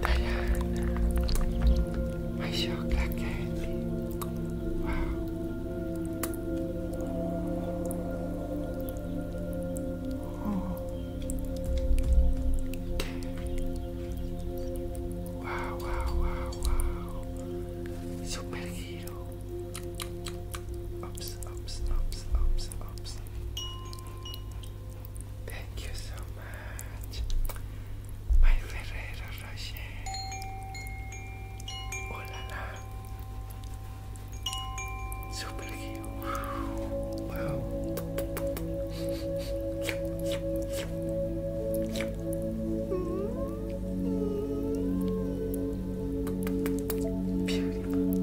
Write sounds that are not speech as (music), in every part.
Diane, my chocolate candy. Wow. Oh. Wow, wow, wow, wow. Superhero. Ups, ups, ups, ups, ups. Thank you so much, my Ferrero Rocher. Oh la Super cute. Wow. Beautiful.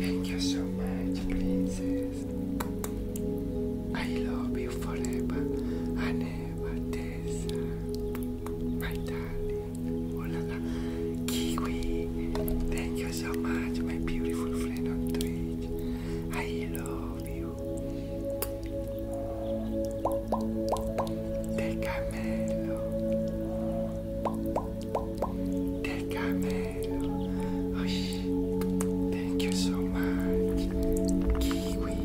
Thank you so much, princess. I love you forever and ever, Tessa. My darling. Oh Kiwi. Thank you so much, my beautiful friend on Twitch. I love you. The Camelo. Decamel. Oh, thank you so much. Kiwi.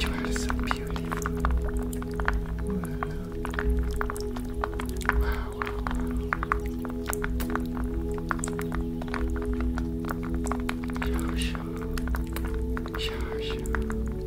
You are so beautiful. Wow. wow, wow. Sure, sure.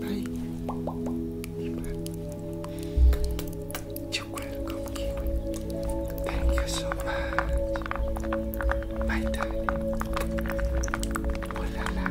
Đây Chúc quên không kịp Thank you so much Bye darling Oh la la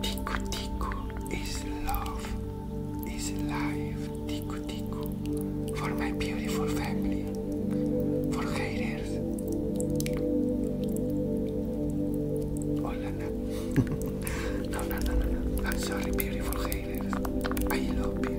Tiku Tiku is love, is life. Tiku Tiku for my beautiful family, for haters. Hola, (laughs) no. no, no, no, no. I'm sorry, beautiful haters. I love you.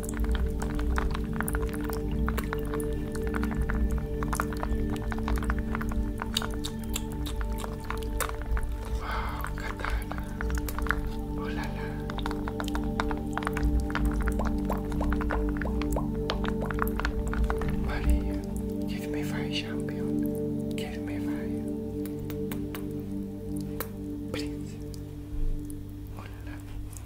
Wow, katana. Oh Maria, give me fire, champion. Give me fire. Please. Oh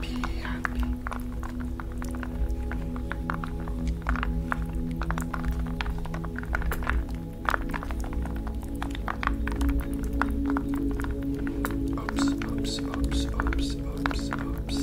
Be happy. oops, oops, oops, oops, oops, oops.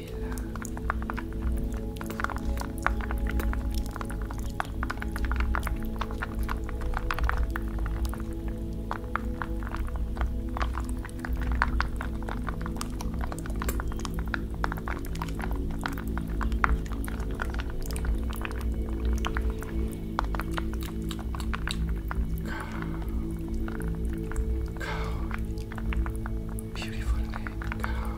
Cold, Beautiful name, Carol.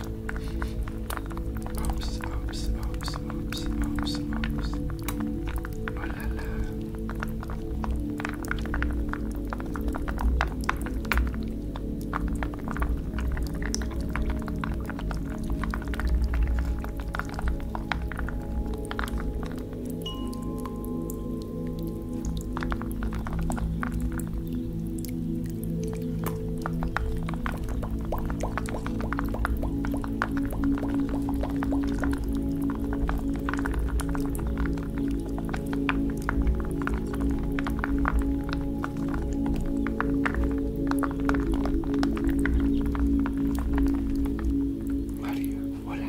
Oops, oops, oops, oops, oops, oops. Oh la la. Mario, hola.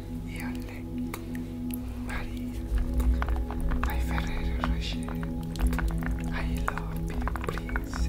Yole, Maria, my Ferrero Rocher, I love you, princess.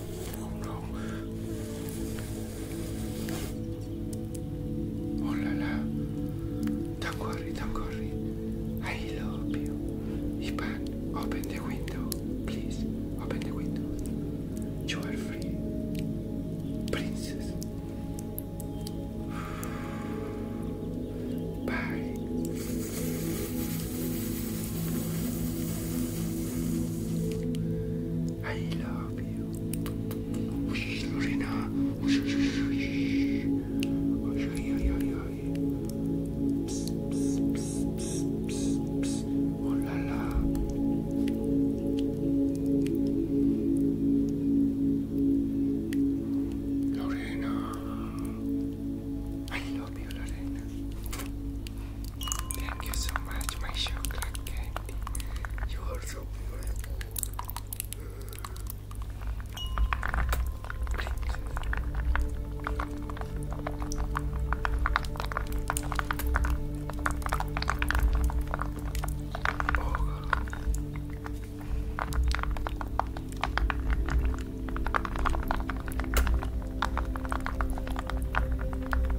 Oh no, oh la la, tan corri, I love you. Iban, open the window, please, open the window. You are free, princess. Bye. I love you. Oh la la. Lorena, I love you, Lorena. Thank you so much, my chocolate candy. You are so Oh.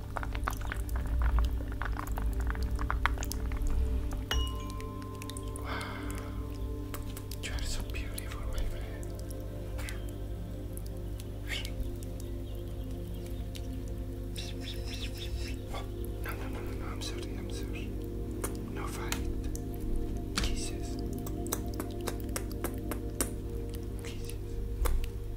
Wow. You so beautiful, my friend. Oh, no, no, no, no, no, I'm sorry, I'm sorry. No fight. Kisses. Kisses.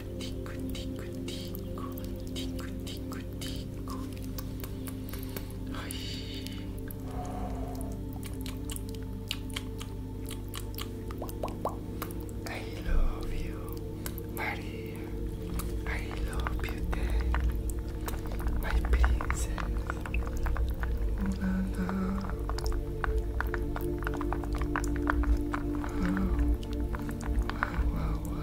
I love you, Maria. I love you, Dad. My princess. La, la. Wow, wow, wow. Wow,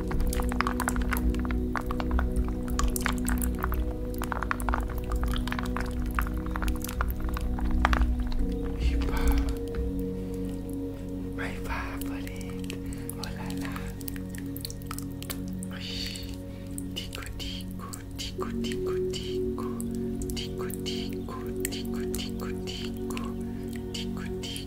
Hip hop, my favorite. Oh la la. Tico tico tico tico tico tico tico tico tico tico tico tico.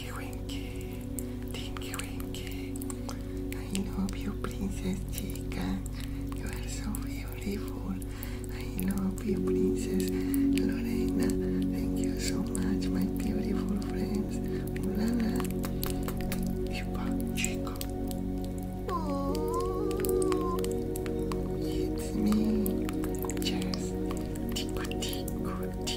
Thank Winky, Tinky Winky. I love you, Princess Chica. You are so beautiful. I love you, Princess Lorena. Thank you so much, my beautiful friends. La Chica, it's me. Just tico, tico, tico.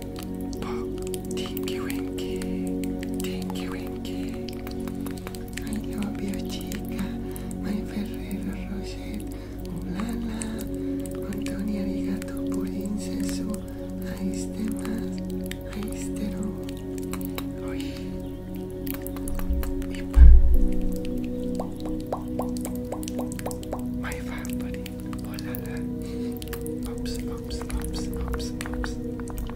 Pop, Tinky Winky, Tinky Winky. I love you, chica, my Ferrero Rocher. Ulala, Antonia Rigato Purin Sesu. Aiste más, aiste no. Oye, Ipa. My family, Ulala. Oops, oops, oops, oops, oops.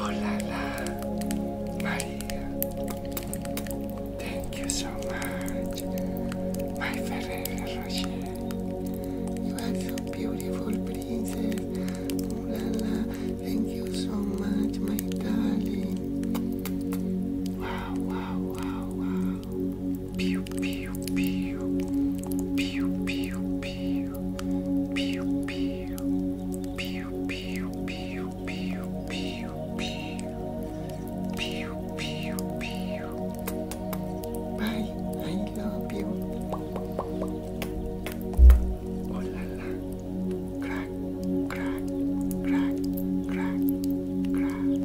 Oh la la, Maria. Thank you so much, my favorite Rocher. You are so beautiful, princess. Oh la la, thank you so much, my darling. wow, wow, wow. Pew, pew, pew. Pew, pew, pew. Pew, pew. Pew, pew, pew, pew, pew, pew. Pew, pew, pew. Bye, I love you. Oh la la. Crack, crack, crack, crack, crack.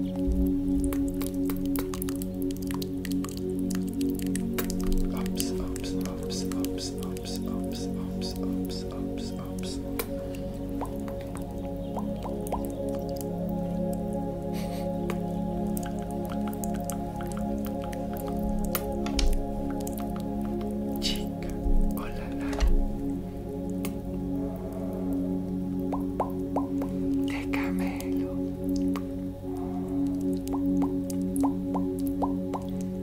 Oops, oops, oops, oops, oops. ups ups ups ups ups ups Thank you oh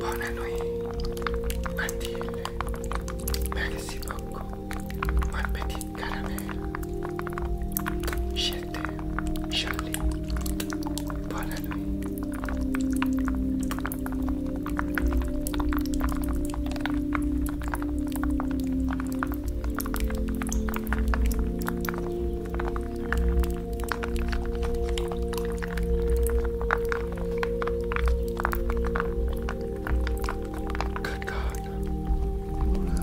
Buonanotte, Matilde, merci beaucoup, mon petit caramel. Je t'aime, Charlie. Buonanotte. Good God. Oh no.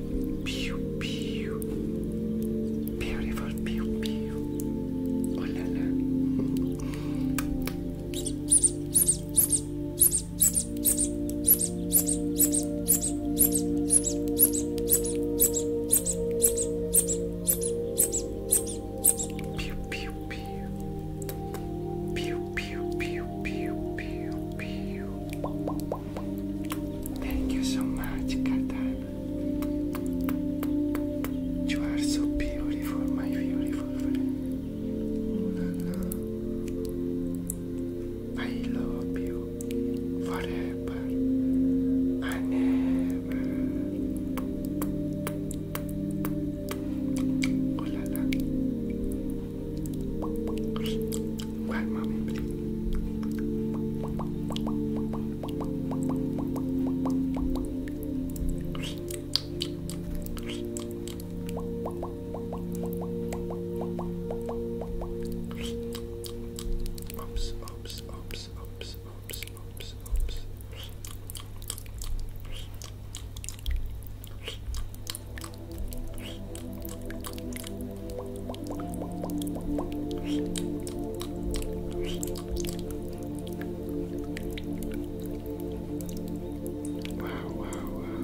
Pew, pew. Beautiful pew, pew. Oh la la. Pew, pew, pew. Pew, pew, pew, pew, pew, pew. Thank you so much, Kata. You are so beautiful, my beautiful friend. Oh, I love you forever and ever. Oh la la. Whack mommy, please. Oops, oops, oops, oops, oops, oops, oops. Wow, wow, wow.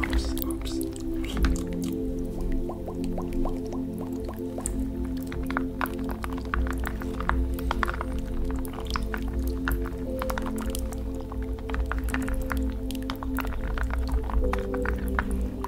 Oops, oops.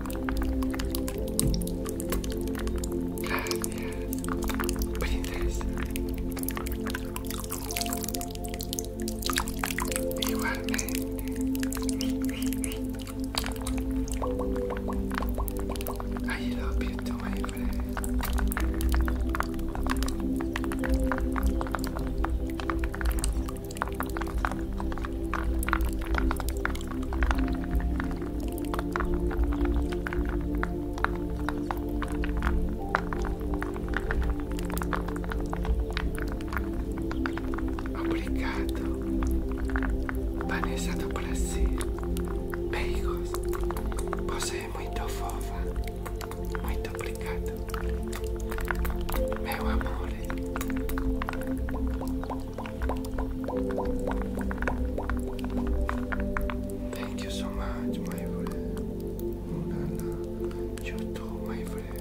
What is this? You are mad. I love you too, my Obrigado, Vanessa do prazer. Beijos, você é muito fofa. Muito obrigado, meu amor. Thank you so much, my friend. You too, my friend.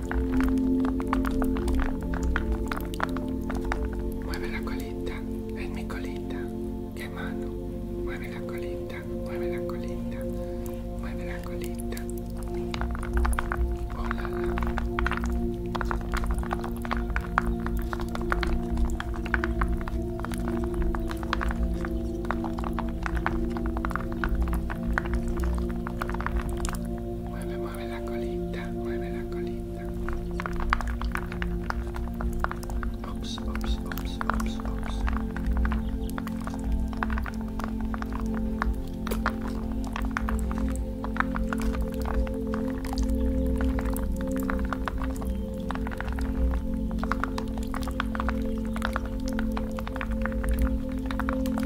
Mueve la colita, es mi colita. Qué mano. Mueve la colita, mueve la colita, mueve la colita. Oh la la. Mueve, Mueve la colita, mueve la colita. Ops, ops, ops, ops, ops.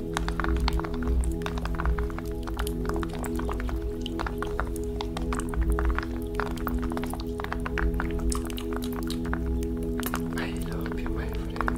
I love you, my friend.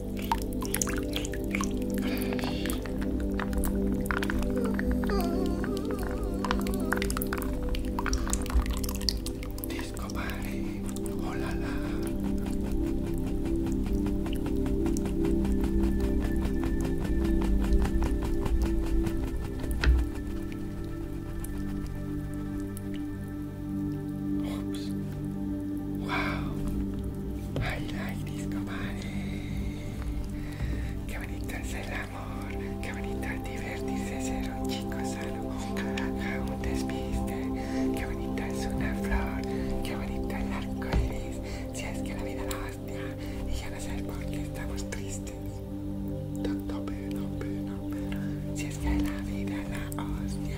Disco party, oh la la. Oops. Wow, I like disco party. Qué bonito es el amor, qué bonito es divertirse, ser un chico sano, un despiste. Qué bonita es una flor, qué bonito el arco iris. Si es que la vida la hostia y ya no sé por qué estamos tristes. Tanto Si es que la vida la hostia.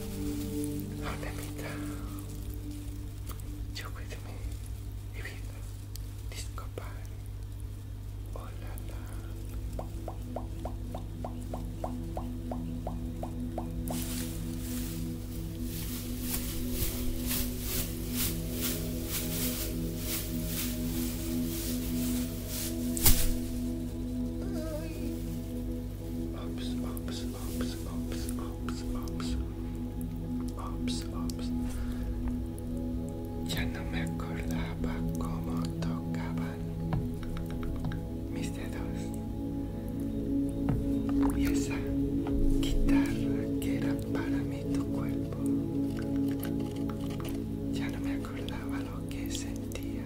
No te invita. Giocatemi e vita. Disco pari. Oh ops, ops, ops, ops, ops, ops, ops, ops. Ya no me acordaba cómo tocaban mis dedos y esa guitarra que era para mí tu cuerpo. Ya no me acordaba lo que sentía.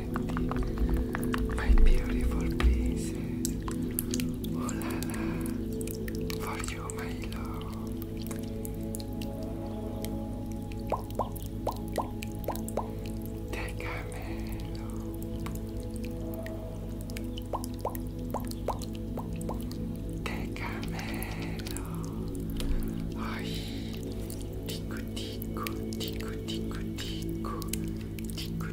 insetti My beautiful pieces Oh la la For you my love Del camelo Del camelo Ai Tico tico tico tico tico Tico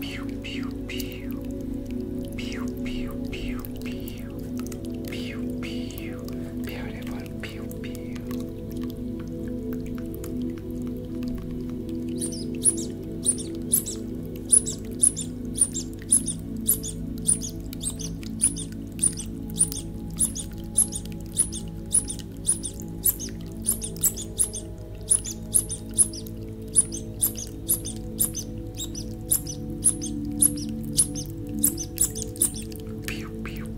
Pew pew pew. Pew pew pew pew. Pew pew. Beautiful pew pew. Pew, pew,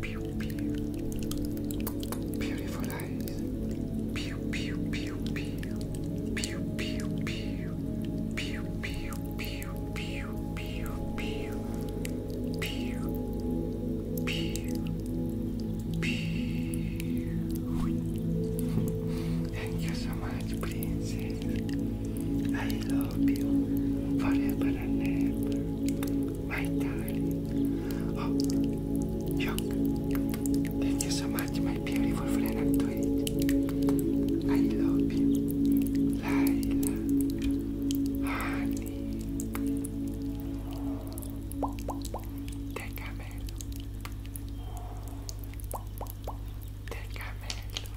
pew, pew. Beautiful eyes. Pew, pew, pew, pew. Pew, pew, pew. Pew, pew, pew, pew, pew, pew. Pew, Thank you so much, princess. I love you forever and ever, my darling. Oh, Chuck. Thank you so much, my beautiful friend I love you, Laila, honey. Decamelo. Decamelo.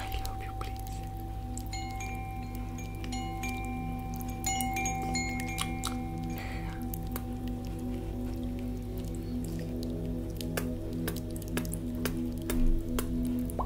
I love you, please.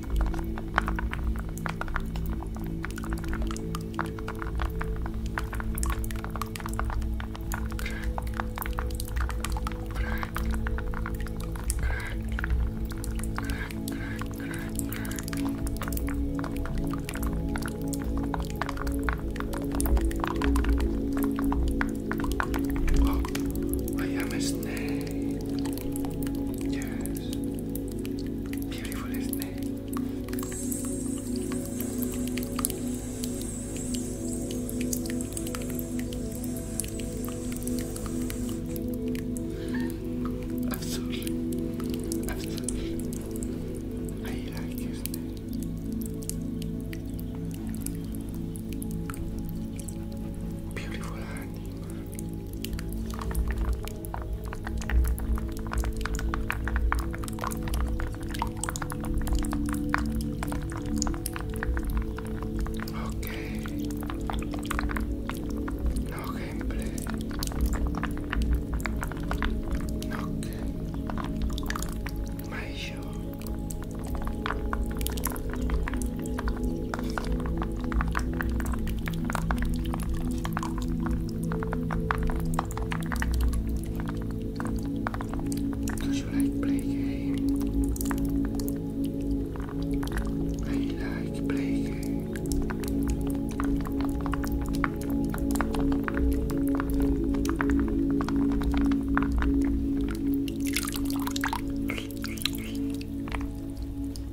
Oh, I am a snake. Yes. Beautiful, isn't it? Absolutely. Absolutely. I like it, isn't Okay. No gameplay. Okay. My show. Because you like play like play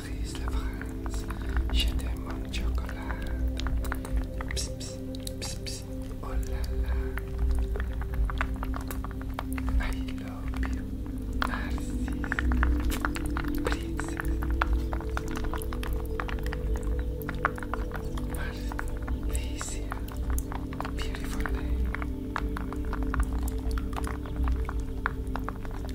brise la France. J'ai des mon chocolat. Pss, pss, pss, Oh la la. I love you. Narcisse. Princesse. Marcia. Beautiful name.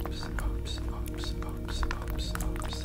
Oops, oops, oops, oops, oops, oops.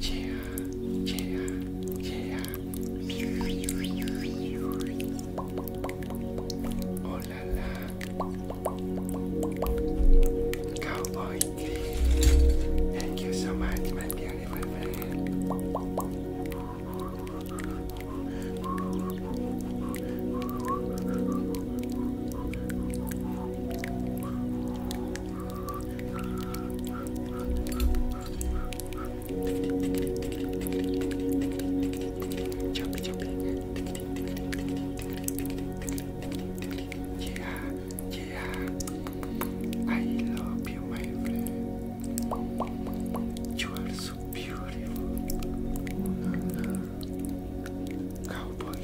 Yeah, yeah, yeah. Oh la la. Cowboy Thank you so much, my beautiful friend. Yeah. Yeah, I love you, my friend. You are so beautiful. Cowboy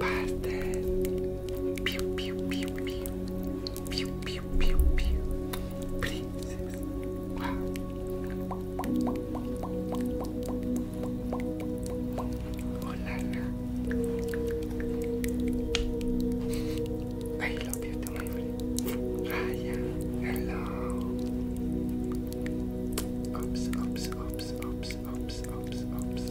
Pastel. piu piu piu piu, piu piu piu piu, Princess. Wow. Oh la la. I love you too, my friend. Ah, Raya, hello. Oops, oops, oops, oops, oops, oops, oops.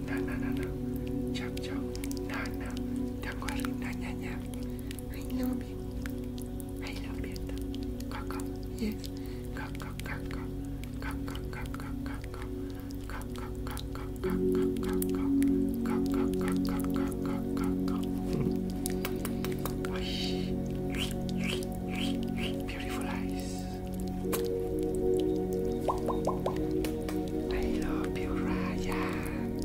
na na na na, chop chop, na na, tanguari, na na na, I love it, I love it, kaka, yes, kaka kaka, kaka kaka kaka, kaka kaka kaka kaka, kaka kaka kaka kaka, beautiful eyes. I love you, Ryan.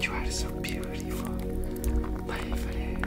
You are so beautiful, my friend.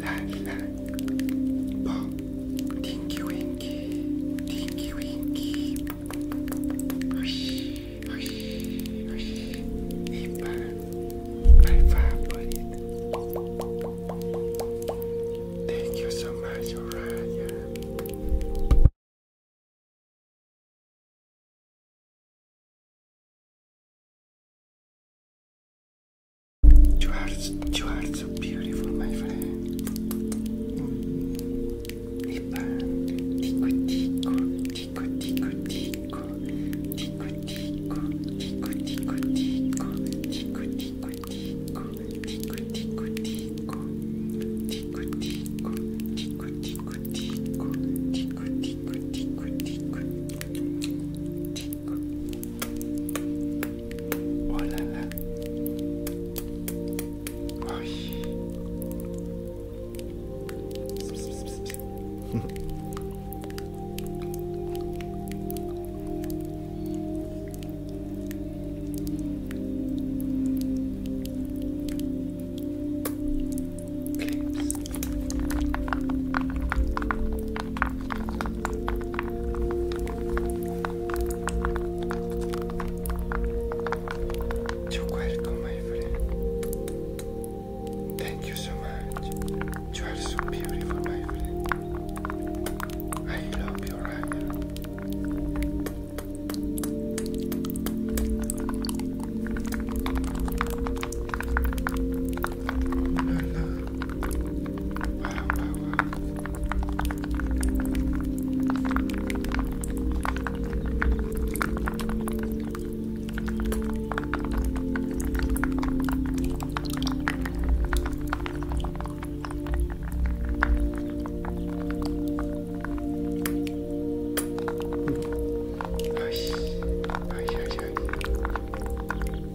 la la bo Tinky Winky Tinky Winky Oxi, oxi, oxi E para my favorite Thank you so much Oraya You are, you are so beautiful, my friend. İban, tiko tiko, tiko tiko tiko, tiko tiko, tiko tiko tiko, tiko tiko tiko, tiko tiko tiko, tiko tiko, tiko tiko tiko, tiko tiko tiko tiko, tiko. Oh là là. Oh oui. You're my friend. Thank you so much. You are so beautiful, my friend. I love your よしよしよしよし。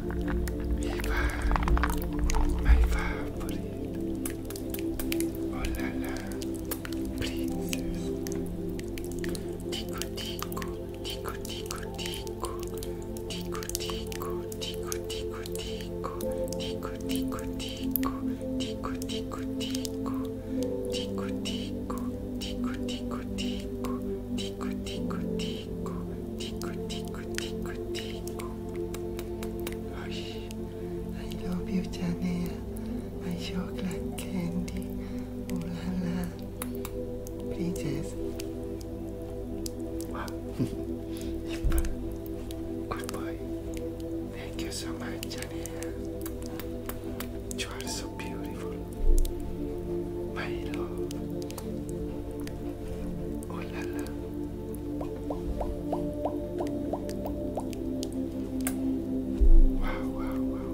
Viva, my favorite. Oh la la, princess. Tico tico, tico tico tico, tico tico, tico tico tico, tico tico tico, tico tico tico, tico tico, tico tico tico, tico tico tico tico, tico, tico, tico, tico. Hush, I love you, Janea. My chocolate candy. Ooh la la. Princess. Wow. Good boy. Thank you so much, Janea. You are so beautiful. My love. Oh la la. Wow, wow, wow.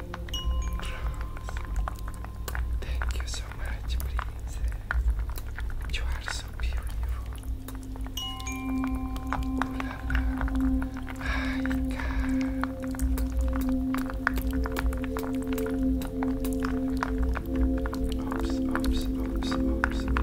Thank you so much, princess. You are so beautiful. Ooh My God. Oops, oops, oops, oops, oops, oops.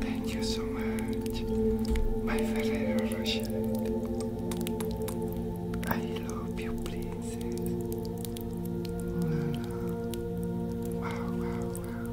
Thank you so much, my Ferrero Rocher. I love you, princess. wow, wow. wow.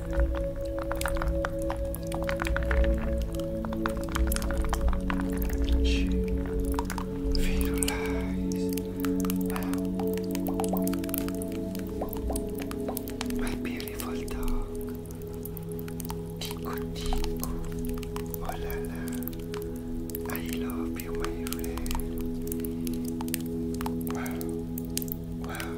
Visualize my beautiful dog. Tico Tico. Oh la la. I love you, my friend. Wow. Wow.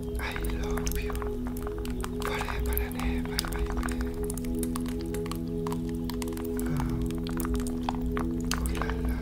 I love you forever and ever, my friend. Oh, ooh la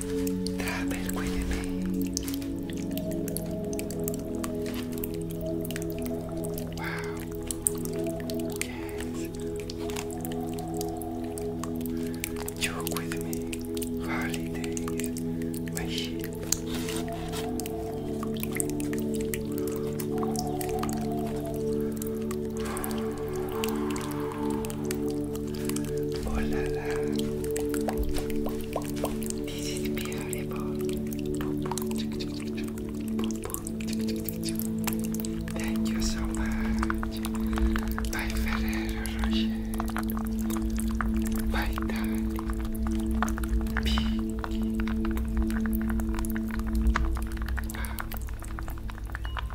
Travel with me. Wow. Joke with me. Holidays. My Oh la la. This is beautiful. Thank you so much. Bye, Ferrero Rocher. Bye, Dani. Piggy.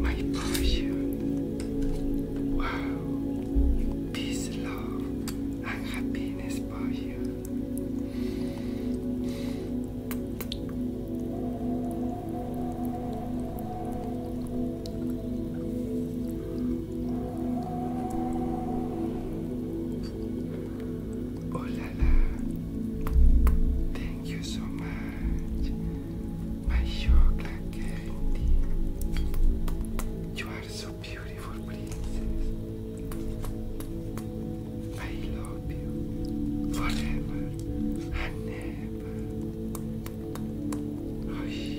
my potion. Wow, peace, love, and happiness for you. Oh la la. Thank you so much. My chocolate candy. You are so beautiful, princess. I love you forever and never. Hush.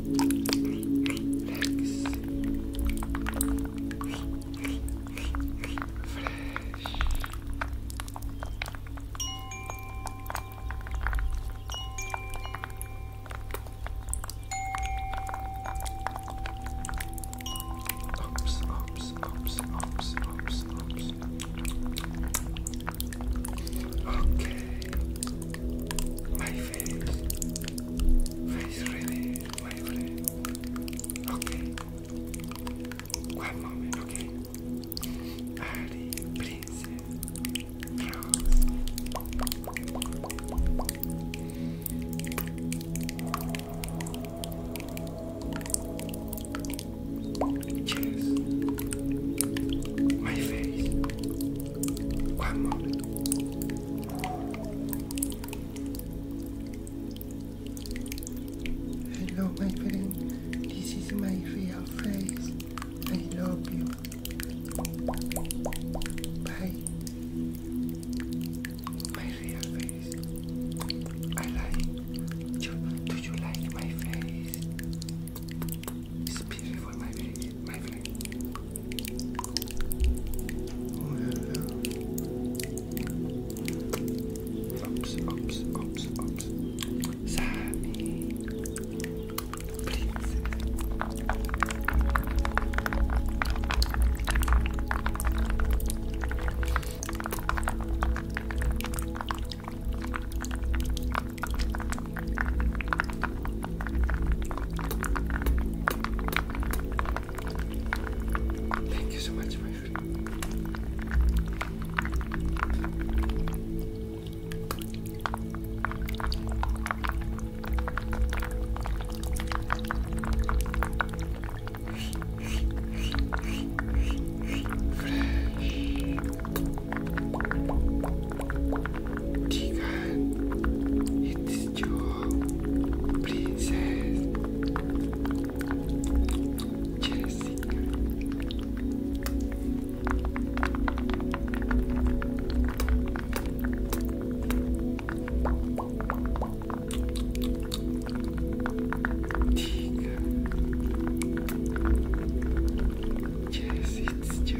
Oops, oops, oops, oops, oops, oops. Okay. My face. Face release, my friend. Okay. One moment, okay. Ali, princess, rose. Yes, my face. One moment. Hello, my friend. This is my real face. I love you. Bye. My real face. I like you. Do you like my face? It's beautiful, my baby, my friend. Oops, oh, oops, oops, oops. Sammy. Please. Thank you so much, my friend. Fresh. (laughs) Diga, jest your princess Jessica. Diga, jest it's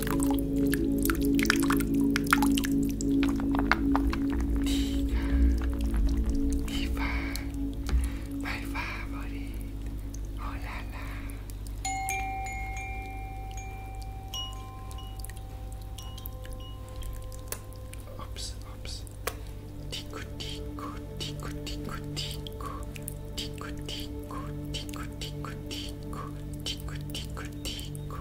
Diva, my favorite. Oh la la. Oops, oops. Tico, tico, tico, tico, tico, tico, tico, tico, tico, tico, tico, tico,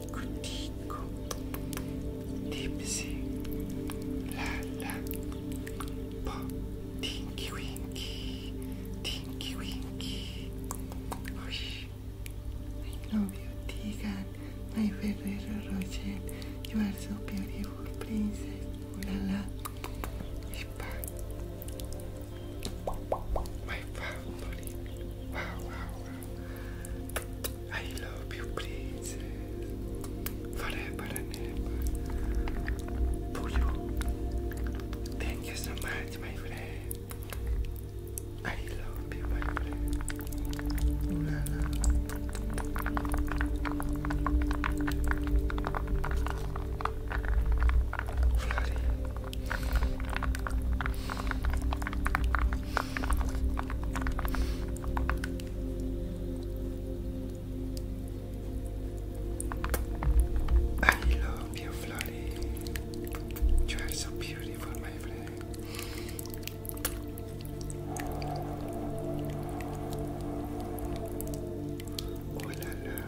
tico, tico. La la. Po. Tinky winky. Tinky winky. Hush. I love you, My Ferrero Rocher. You are so beautiful, princess. Ooh la la. My family. Wow, wow, wow. I love you, please. Forever and ever. Thank you so much, my friend. I love you, my friend. Ooh, la, la. Flurry. I love you, Florrie. You are so beautiful, my friend. Oh la la.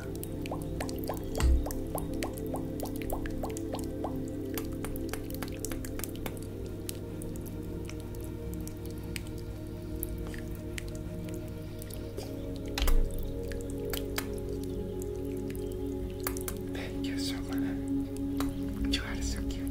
Thank you so much. You are so cute.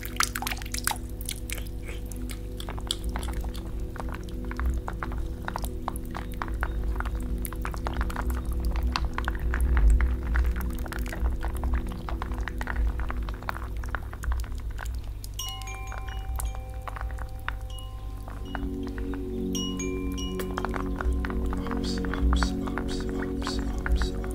Ups, ups, ups, ups, ups.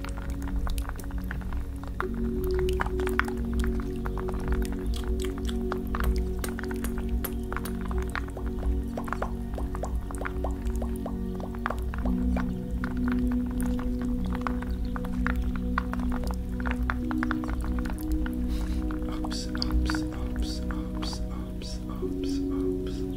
Ups, ups, ups, ups, ups, ups, ups.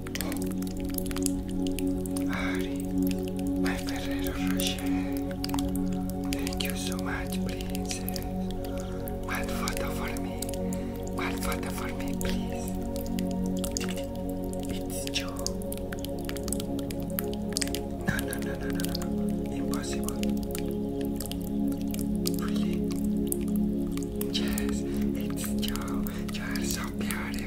Ari, my Ferrero Rocher. Thank you so much, please. One photo for me. One photo for me, please. It's you. No, no, no, no, no, no, Impossible. Really? Yes, it's you. You are so beautiful.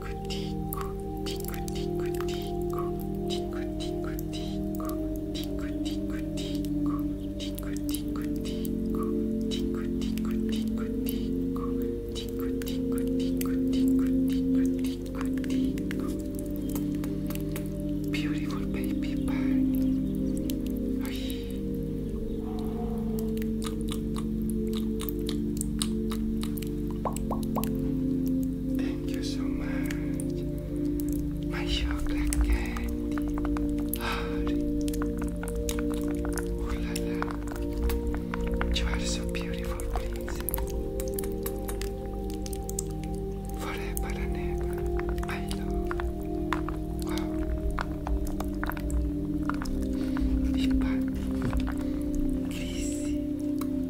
Beautiful baby bird. There Thank you so much. My chocolate candy. Hurry. Oh la la. You are so beautiful, princess. Forever and ever. My love. Wow. Ipa.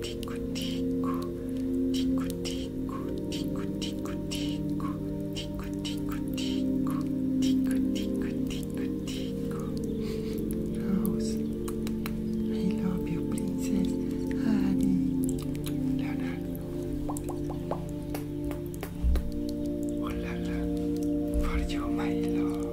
tico, tico, tico, tico, tico, tico, tico, tico, tico, tico, tico, tico, tico, tico. Rose, I love you, princess. Honey, Leonardo. Oh la la, for you, my love.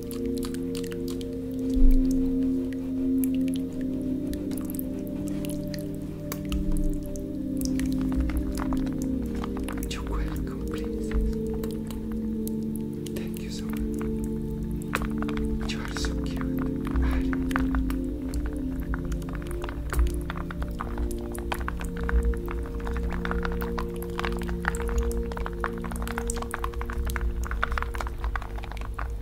You're welcome, please. Thank you so much. You are so cute.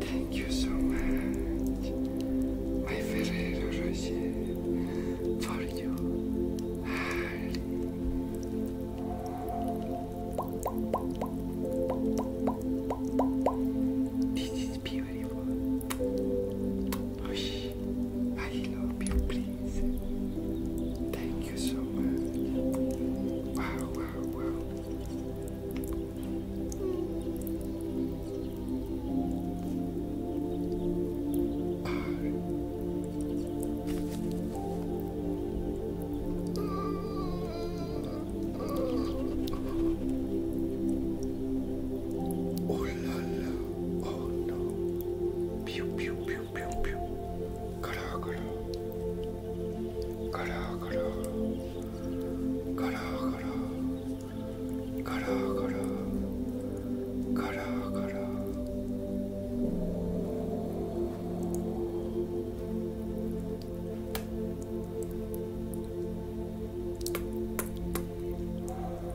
Thank you so much, my Ferrero Rocher, for you. This is beautiful. I love you, please. Thank you so much. Wow, wow, wow. Oh. Oh la la. Oh no. Pew pew pew pew pew. Kara kara. Kara kara. Kara kara.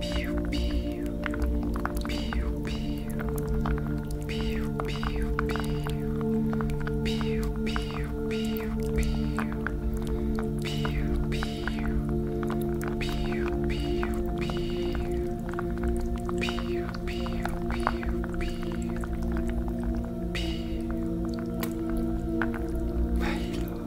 Pew pew pew pew pew pew pew pew pew pew pew pew pew pew pew pew pew pew pew Milo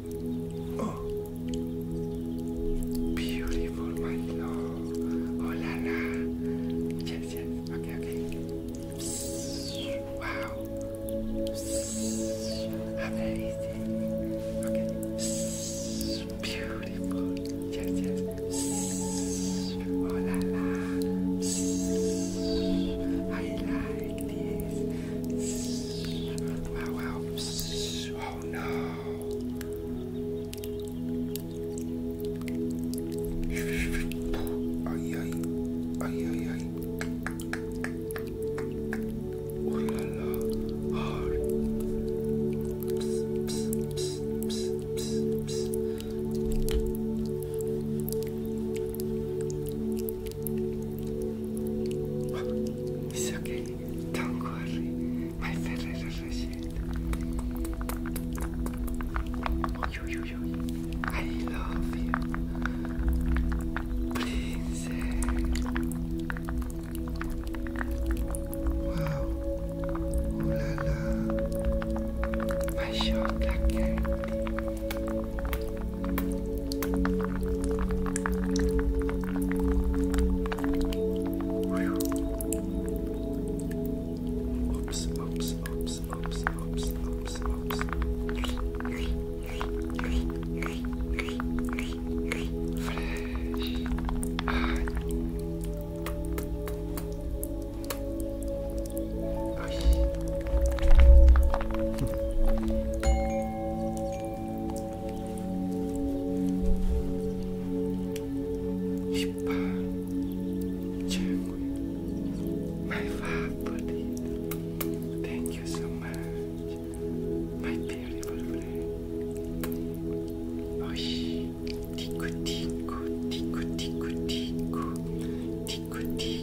Oh, beautiful, my love. Oh la la. Yes, yes. Okay, okay. Wow. Beautiful. Yes, yes. Oh la la. I like this. Wow, wow. Oh no. Ay, ay. Ay, ay, ay. Oh la la. Oh. Psst, psst, psst, psst, psst, psst. It's okay. Don't worry. My Ferrero Rocher. I love you. Princess. Wow. Ooh la la. My shoulder candy. Oops, oops, oops, oops, oops, oops, oops. Fresh. Ay. Ay thank Tico, tico, tico, tico, tico, tico,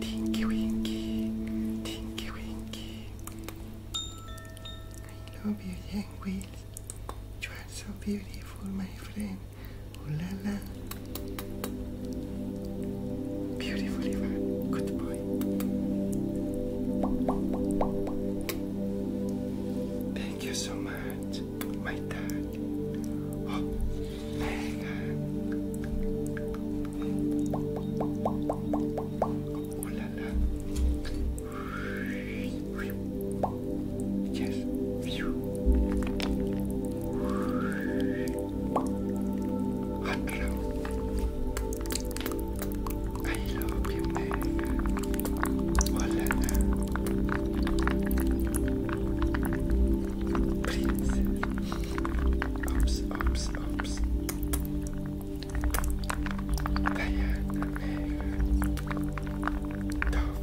Tinky Winky, Tinky Winky. I love you, young You are so beautiful, my friend. Ooh la la. Beautiful river. Good boy. Thank you so much, my dad. Oh la la. Yes. Hot love. I love you, man. Oh la la. Princess. Oops, oops slopes. They are tough.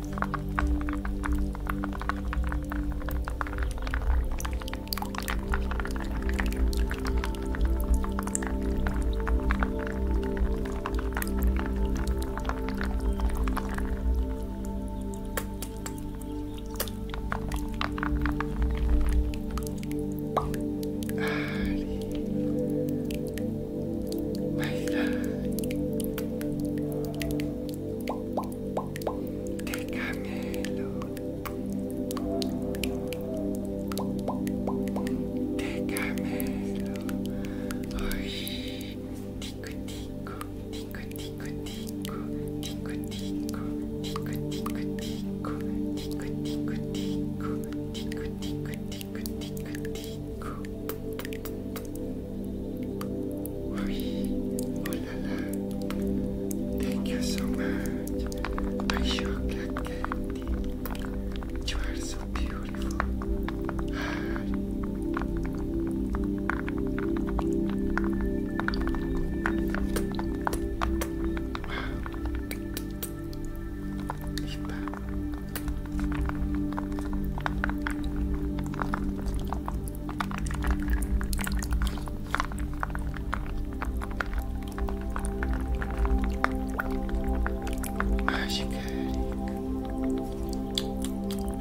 My God. De Camelo. De Camelo. Oy. Tico, tico, tico, tico. Oui, oh là là, thank you so much. I sure got candy. You are so beautiful. Magic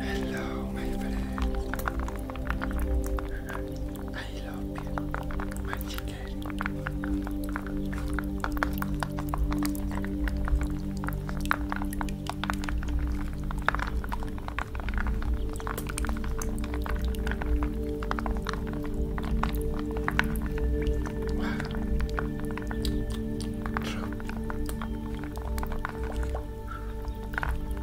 Hello, my friend. I love you, my chicken. Wow. True.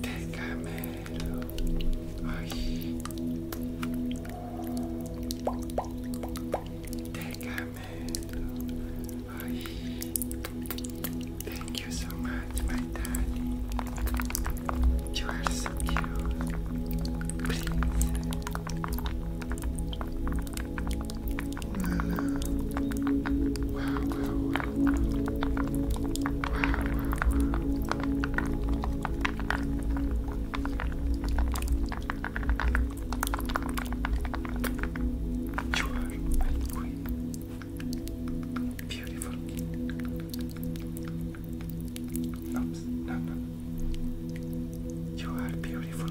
Τεκαμένο όχι Τεκαμένο όχι Thank you so much my daddy You are so cute Please you are my queen. Beautiful. Oops, no, no. You are beautiful.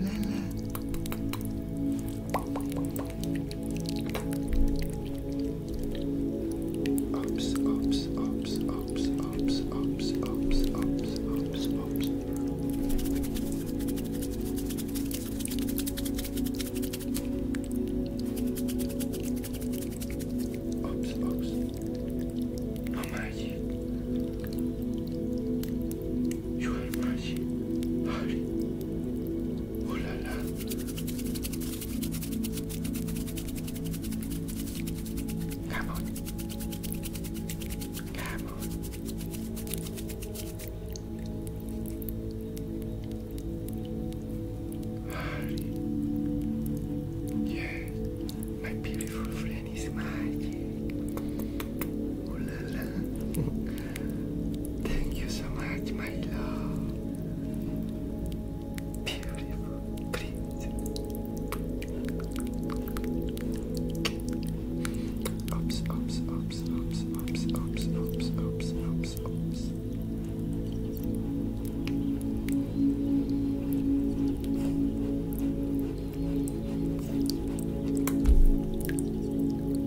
la la. Oops, oops, oops, oops, oops, oops, oops, oops, oops, oops. Oops, oops. How you are Come on. Come on. Harry. Yes, my beautiful friend is magic. Oh la la. (laughs) Thank you so much, my love. Beautiful, please. Oops, oops, oops, oops, oops, oops, oops, oops, oops,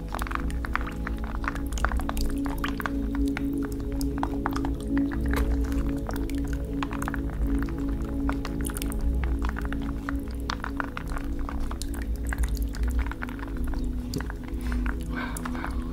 wow, wow, wow.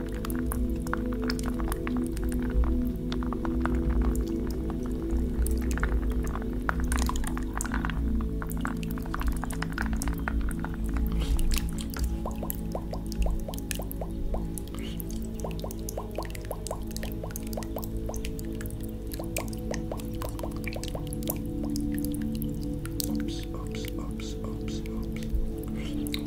Oops, oops, oops, oops, oops.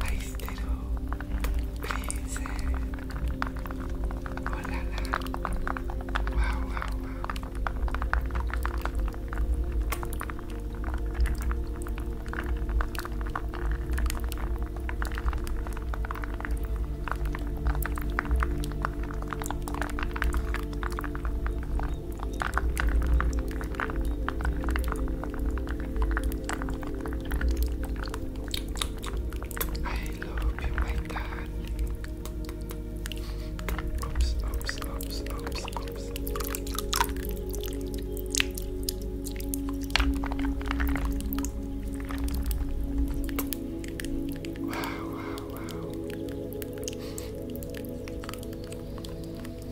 愛してるプリンセオララワウワウワウ I love you, my darling. Oops, oops, oops, oops, oops. Wow, wow, wow.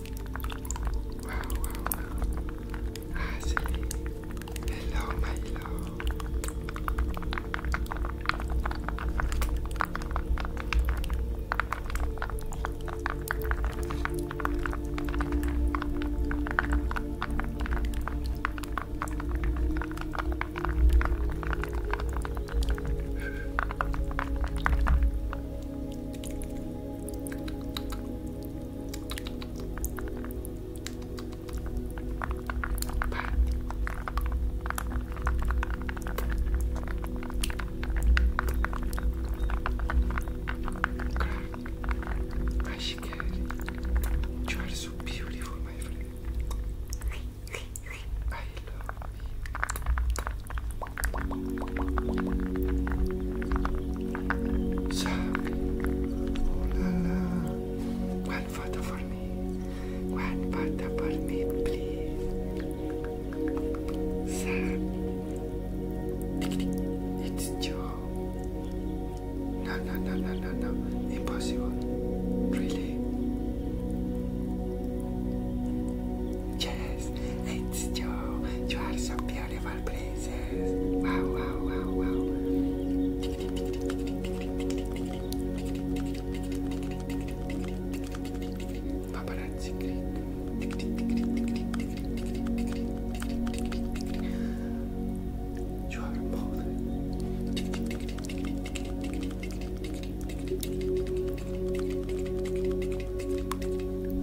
Wow, wow, wow. I see. Hello, my love. Crash You are so beautiful, my friend. I love you. Suck. Oh la la. One photo for me. One photo for me, please. Suck. It's Joe. No, no, no, no, no, no. Impossible. Really? Yes, it's Joe. You are so beautiful for the princess. Wow, wow, wow, wow. Paparazzi grip. You are bold.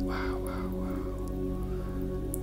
Wow, wow, wow.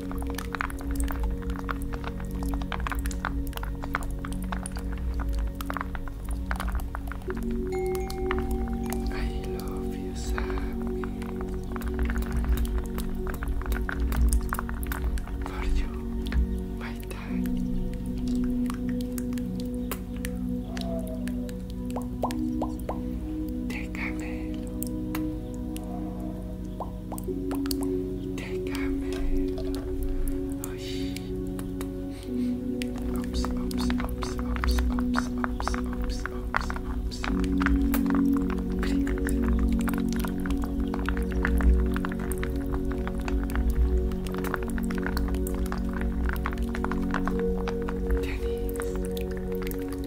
I love you, Sammy. For you, my daddy. De camelo. Take care, man. Oh, shh. Oops, oops, oops, oops, oops, oops, oops, oops, oops. Please. Tennis.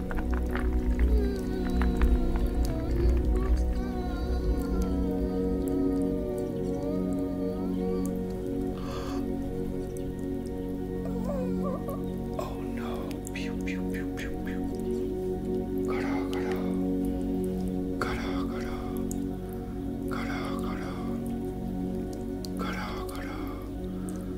Oh gotta, gotta,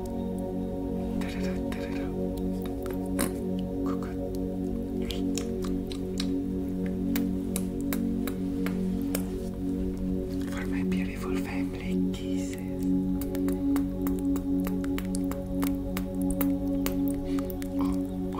For my beautiful family, kisses. Oh,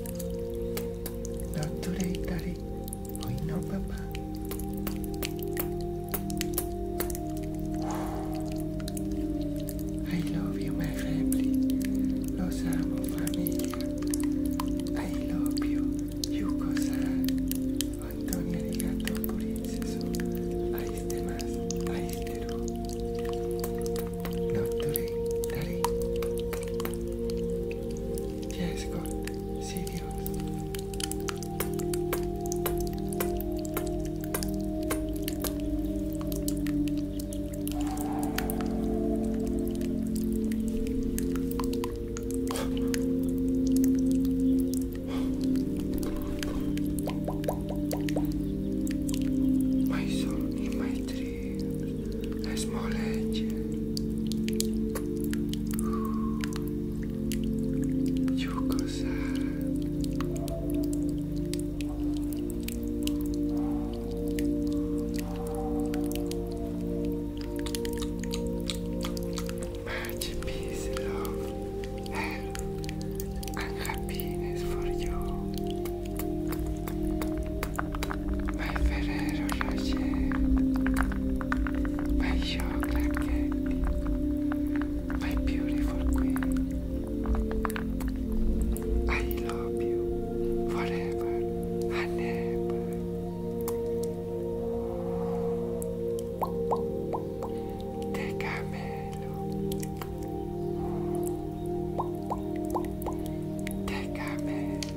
Not today, Daddy. Oh, no, Papa. I love you, my family. Los amo, familia. I love you. You cosa. Antonia di Gato Purinceso. Aiste más. Aiste Not today, Daddy. Yes, God. See you. My soul in my dream. na Smolecie. Ciukosa. Much peace, love, health and happiness for you. Vai Ferrero Rocher, my chocolate cake, my beautiful queen. I love you forever and ever. camelo. Te camelo.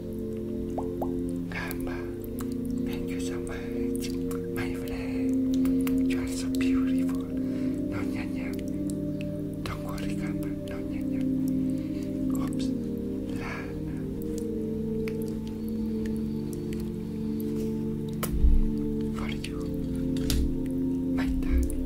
Kamba, thank you so much, my friend. You are so beautiful. No, nya, nya. Don't worry, Kamba. No, nya, nya. Oops. Lana. For you, my darling.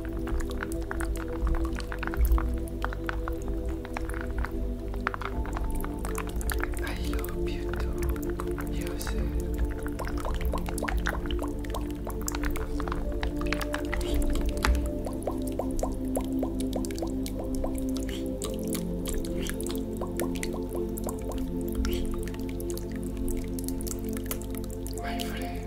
I love you too, use it. My friend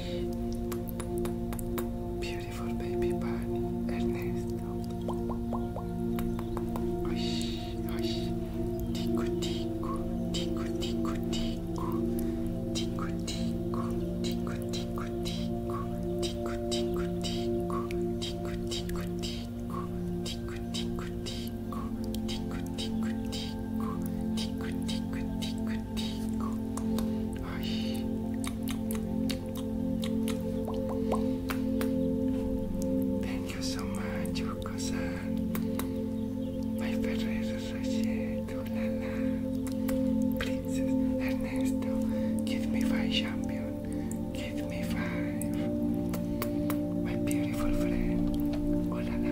Beautiful baby bunny, Ernesto. Oish, oish. Tiku, tiku, tiku, tiku, tiku. Tiku, tiku, tiku, tiku, tiku. Tiku, tiku, tiku, tiku, tiku, tiku. Tiku, tiku, tiku, tiku, tiku, tiku. Tiku, tiku, tiku, Thank you so much yuko cousin. My Ferrero Rocher Tulala Princess Ernesto Give me five champion Give me five My beautiful friend Olala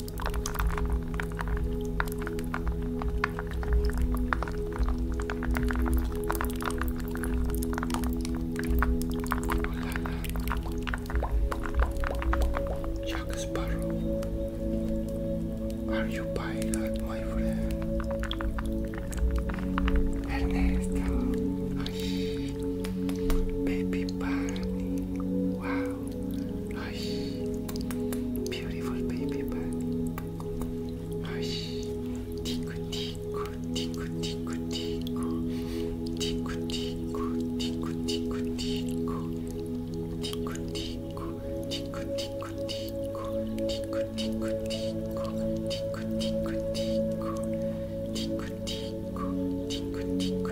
Jack Sparrow, are you pilot, my friend? Ernesto, Ay. baby bunny, wow, Beautiful baby bird. Hush. Tiku tiku tiku tiku tiku. Tiku tiku tiku tiku tiku. Tiku tiku tiku tiku tiku. Tiku tiku tiku tiku tiku tiku. Tiku tiku tiku tiku.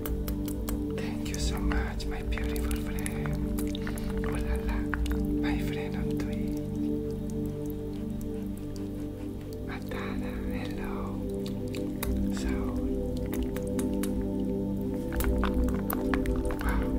Thank you so much, my beautiful friend. Oh my friend on Twitch. Matana, hello. So, wow.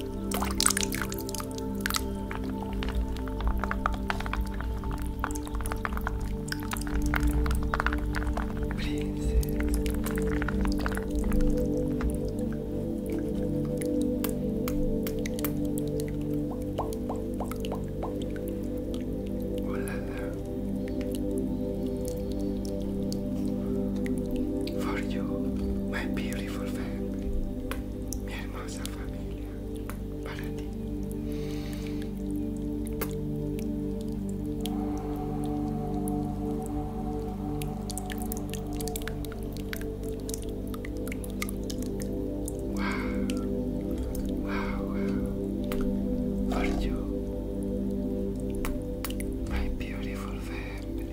Oh là là. For you, my beautiful family. Miel hermosa familia para ti. Wow, wow, wow. For you, my beautiful family.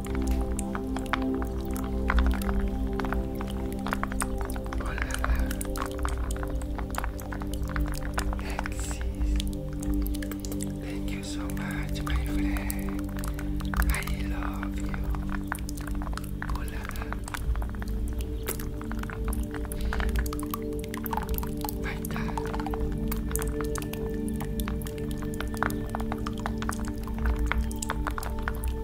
Olha lá. Axis. Thank you so much, my friend. I love you. Olha lá.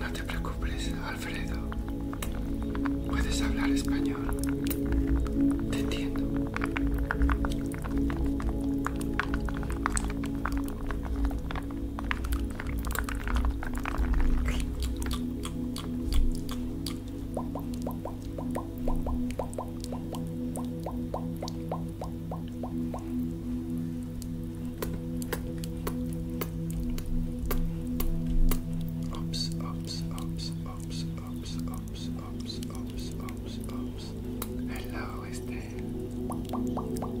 No te preocupes, Alfredo. Puedes hablar español. Te entiendo. Ups, ups, ups, ups, ups, ups, ups, ups, ups, ups. Hello, is there? Hello.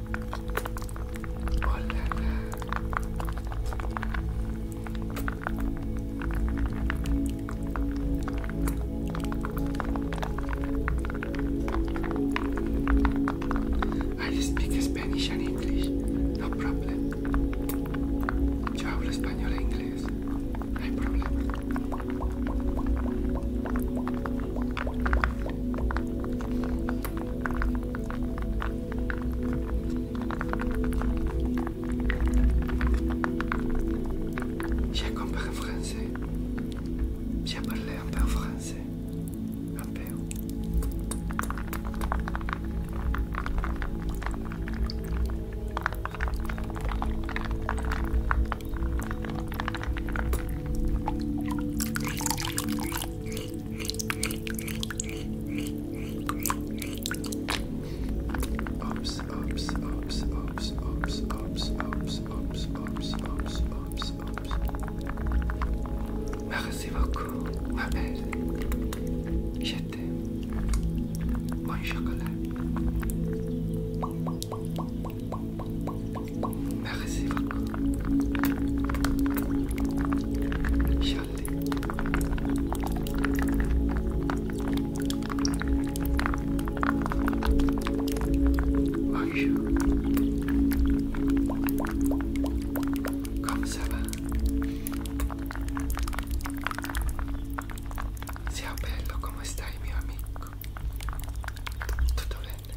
Oh la la. I speak Spanish and English, no problem. Yo hablo español e inglés, no hay problema. J'ai compris français. J'ai parlé un peu français. Un peu. Ops, ops, ops, Merci beaucoup, ma belle. Je Bon chocolat. Merci beaucoup. Scialli. Bonjour. Comme ça va? Sia bello, come stai mio amico? Tutto bene?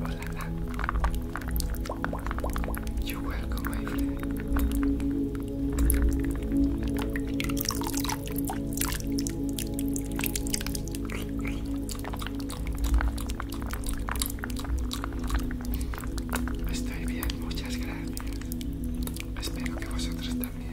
Hola, Estoy bien, muchas gracias. Espero que vosotros también.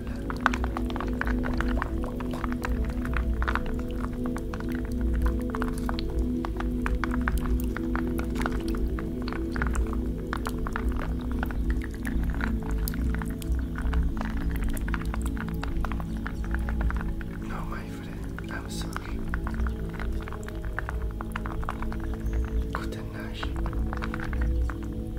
Não my friend, I'm sorry. Good night.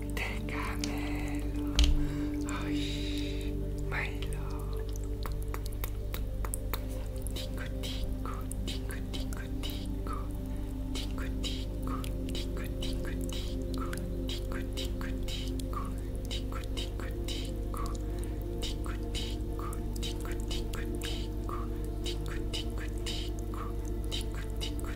de caramelo. Ay, Milo. Tico, tico, tico, tico, tico. Tico, tico, tico, tico, tico. Tico, tico, tico. Tico, tico, tico. Tico, tico, tico, tico, tico. Tico, tico, tico. Tico, tico,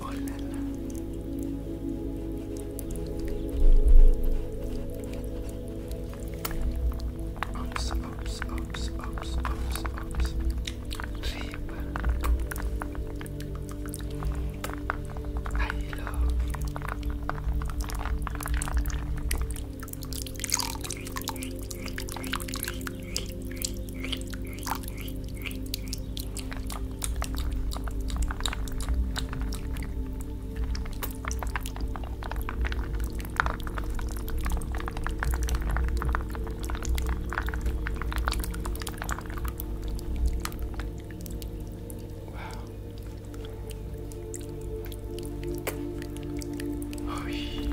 Oh la la. Oops, oops, oops, oops, oops, oops. Cheap. I love. Wow. Oh, yeah.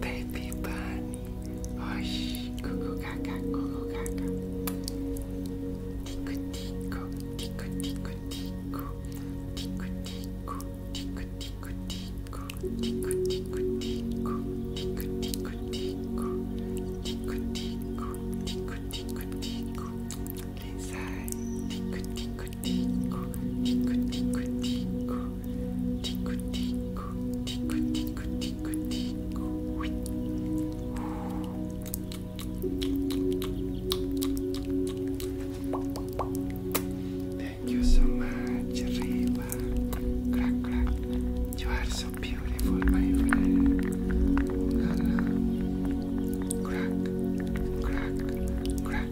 Baby bunny. Hush. Cuckoo caca. Cuckoo caca. Tico tico. Tico tico tico. Tico tico. Tico tico tico. Tico tico tico. Tico tico tico. Tico tico. Tico tico tico. Les ailes. Tico tico Thank you so much, Rila. Crack, crack. You are so beautiful, my friend. Crack, crack, crack,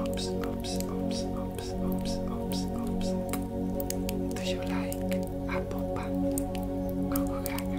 Oops, oops, oops, oops, oops, oops, oops. Do you like apple pie? Coco Gaga.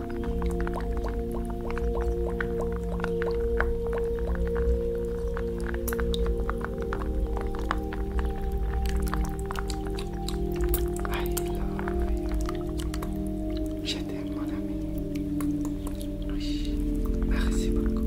I love Je t'aime, mon ami. merci beaucoup.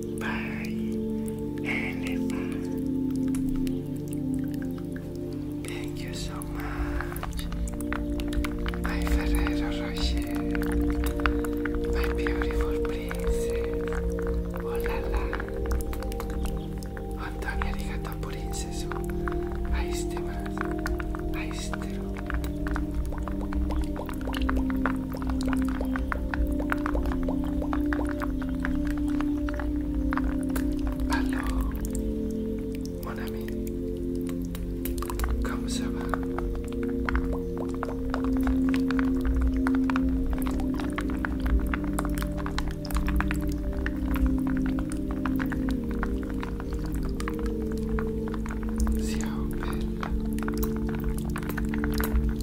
Bye Elefant. Thank you so much. By Ferrero Rocher. My beautiful princess. Hola, la. Antonio Arigato, Ahí Aiste más. Aistero. Alors, mon ami, comme ça va Ciao belle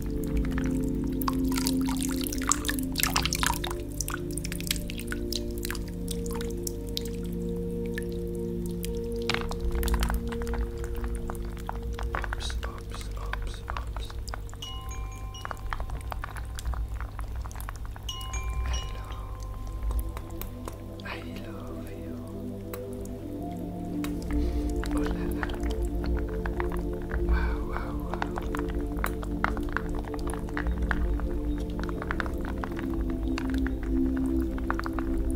Oops, oops, oops, oops. I love you. Wow, wow, wow.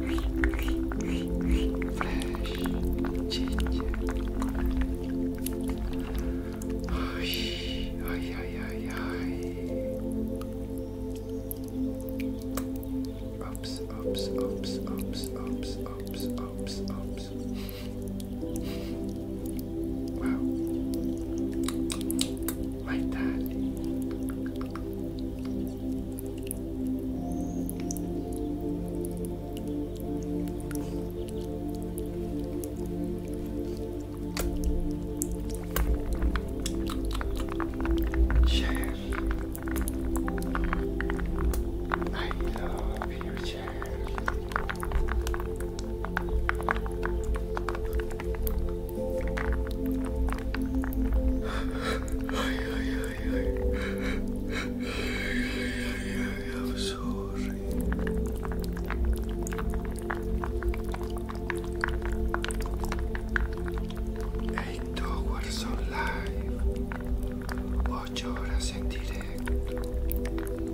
Fresh ginger. Oy, oy, oy, oy, oy. Oops, oops, oops, oops, oops, oops, oops, oops. Wow. Like that. Sure. I love your pleasure. I'm sorry. Eight hours on live, ocho horas en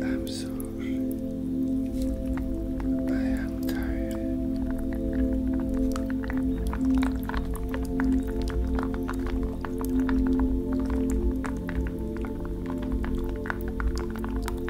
I'm sorry. I am tired.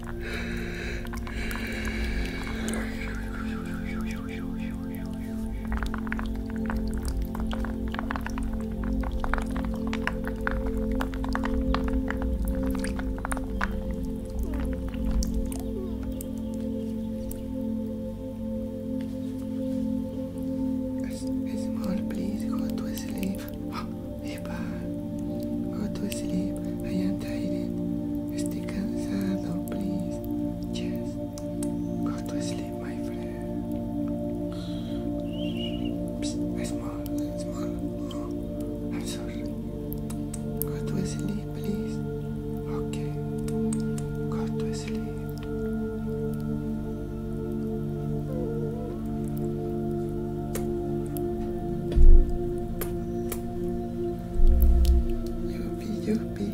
Small, please go to sleep. Epa, go to sleep. I am tired. Estoy cansado, please. Yes, go to sleep, my friend. Psst, small, small. No, I'm sorry. Go to sleep, please. Okay, go to sleep. Yoopy, yoopy.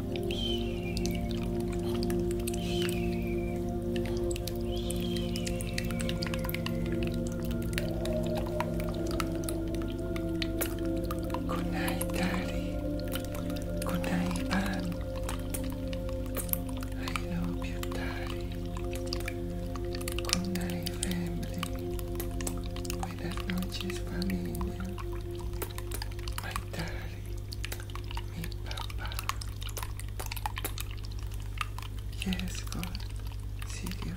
Shhhhhh Good night, Daddy. Good night, Anne. I love you, Daddy. Good night, family. With a no-chis family my daddy, mi papá. Yes, God, sí, Dios.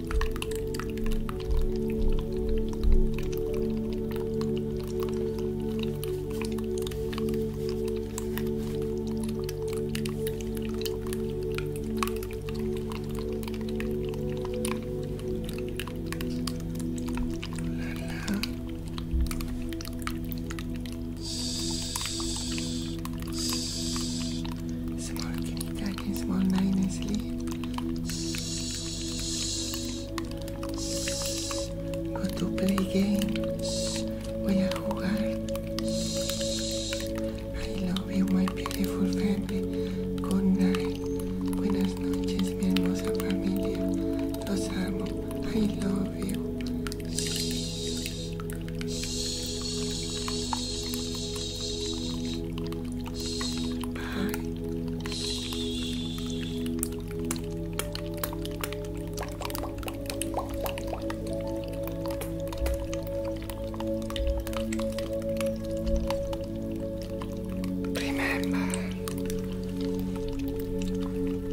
Small, can you, I can smell very nicely. Go to play game. Voy a jugar. I love you, my beautiful family. Good night. Buenas noches, mi hermosa familia. Los amo. I love you. Remember,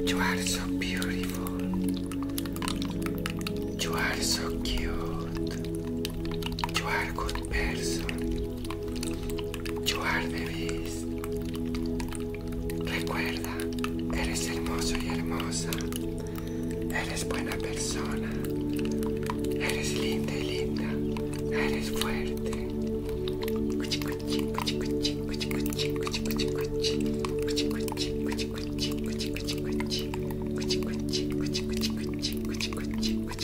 you are so beautiful. You are so cute. You are a good person. You are the Recuerda, eres hermoso y hermosa. Eres buena persona. Eres linda y linda. Eres fuerte. Cuchi, cuchi, cuchi, cuchi, cuchi, cuchi, cuchi, cuchi, cuchi. Cuchi, cuchi, cuchi, cuchi, cuchi, chico chico, Cuchi, chico cuchi, chico cuchi,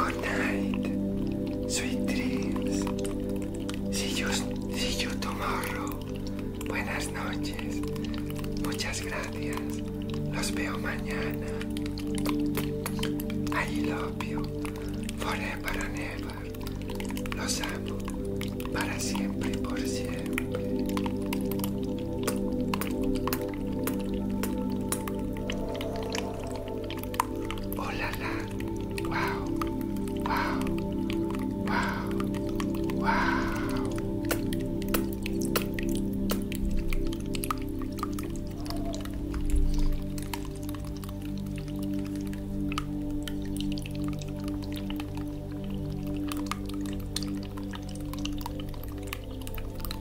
Good night. Sweet dreams. See you, tomorrow. Buenas noches. Muchas gracias. Los veo mañana. I love you. Forever and ever. Los amo. Para siempre y por siempre. Oh la la. Wow. Wow. Wow. Wow.